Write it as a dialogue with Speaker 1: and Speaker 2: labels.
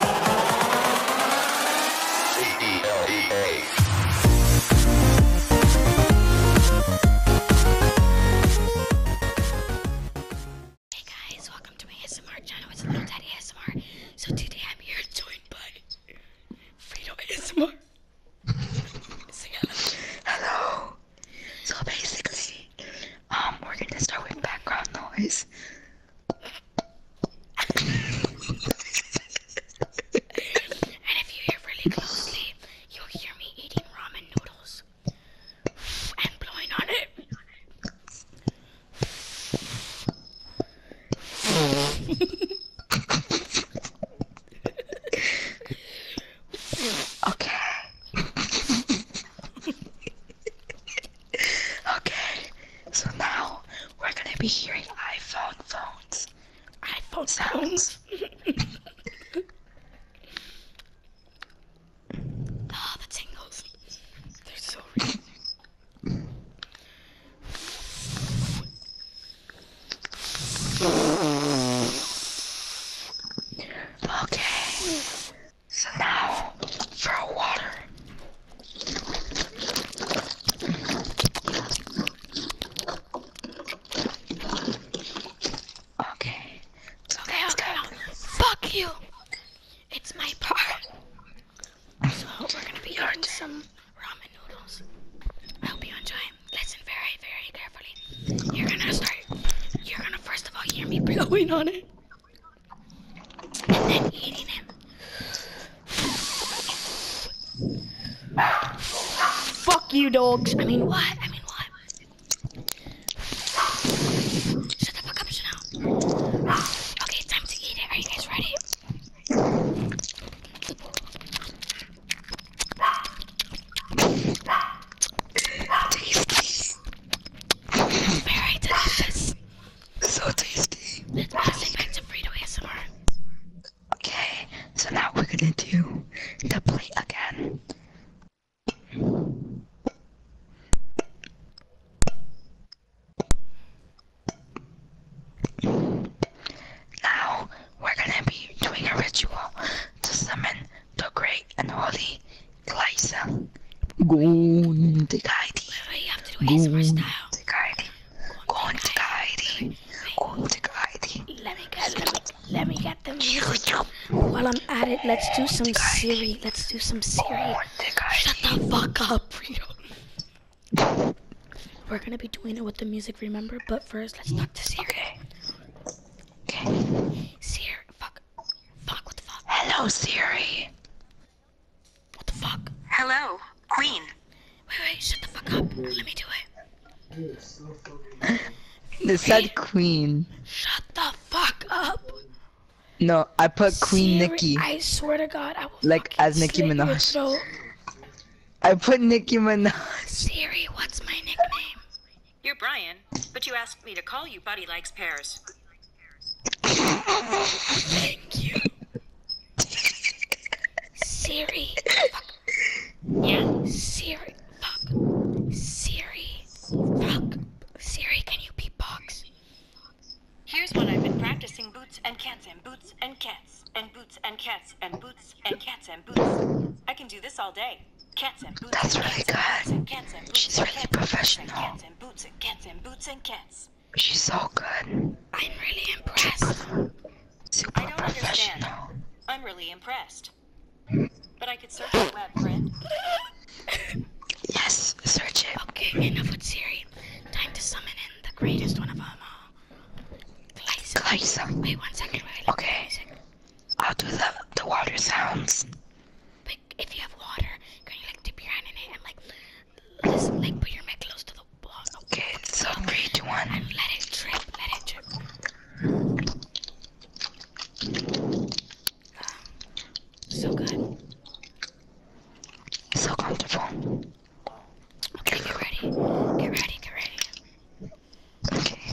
Speaker 1: Hey guys, welcome to my ASMR channel. It's Little Daddy ASMR. So today I'm here joined by Fredo ASMR. Say Hello. So basically, um, we're gonna start with background noise and if you hear really closely, you'll hear me eating ramen noodles and blowing on it. okay. okay, so now we're gonna be hearing iPhone phones. iPhone sounds. ah, the tingles. They're so real. Okay. So now for water. Okay. So okay, okay. Fuck you. It's my part. So we're gonna be eating some ramen noodles. I hope you enjoy. Listen very, very carefully. You're gonna start. You're gonna first of all hear me blowing on it and then eating him. Fuck you, dogs. I mean, what? I mean, what? Shut the fuck up, Chanel. Okay, time to eat it. Are you guys ready? Tasty. Very delicious. So tasty. Let's pass it back to Frito ASMR. Okay, so now we're gonna do the plate again. Now we're gonna be doing a ritual to summon the great and holy Glazer. Gundigheidi. Wait, you have to do ASMR style. Gundigheidi. Gundigheidi. Gundigheidi. Let me get, let me, let me get the music. While I'm at it, let's do some Siri. Let's do some Siri. Shut the fuck up, Rio. We're gonna be doing it with the music, remember? But first, let's talk to Siri. Okay. Okay. Siri, fuck. Hello, Siri. What the fuck? Hello, Queen. Wait, wait, shut the fuck up. Let me do it. they said Queen. Shut the fuck up. No, I put Queen Nikki. I swear to God, I will. Like as Nikki Minaj. I put Nikki Minaj. Siri, what's my nickname? You're Brian, but you asked me to call you Buddy Likes Pears. Thank you. Siri. Yeah? Siri. Fuck. Siri. Fuck. Siri, can you box? Here's what I've been practicing boots and cats and boots and cats and boots and cats and boots and cats and boots. I can do this all day. That's really good. She's really professional. She's so good. I'm really impressed. Super I don't professional. Understand. I'm really impressed. But I could search the web, friend. yes, search it. Okay, enough with Siri. Time to summon in the greatest one of them all. Glyza. Glyza. Wait one second. Wait, okay. I'll do the, the water sounds. But if you have water, can you like dip your hand in it and like listen, like put your mitt close to the wall? Okay, so three, two, one. And let it drip, let it drip. Um, so good. So comfortable. Okay, get ready. Get ready, get ready. Okay.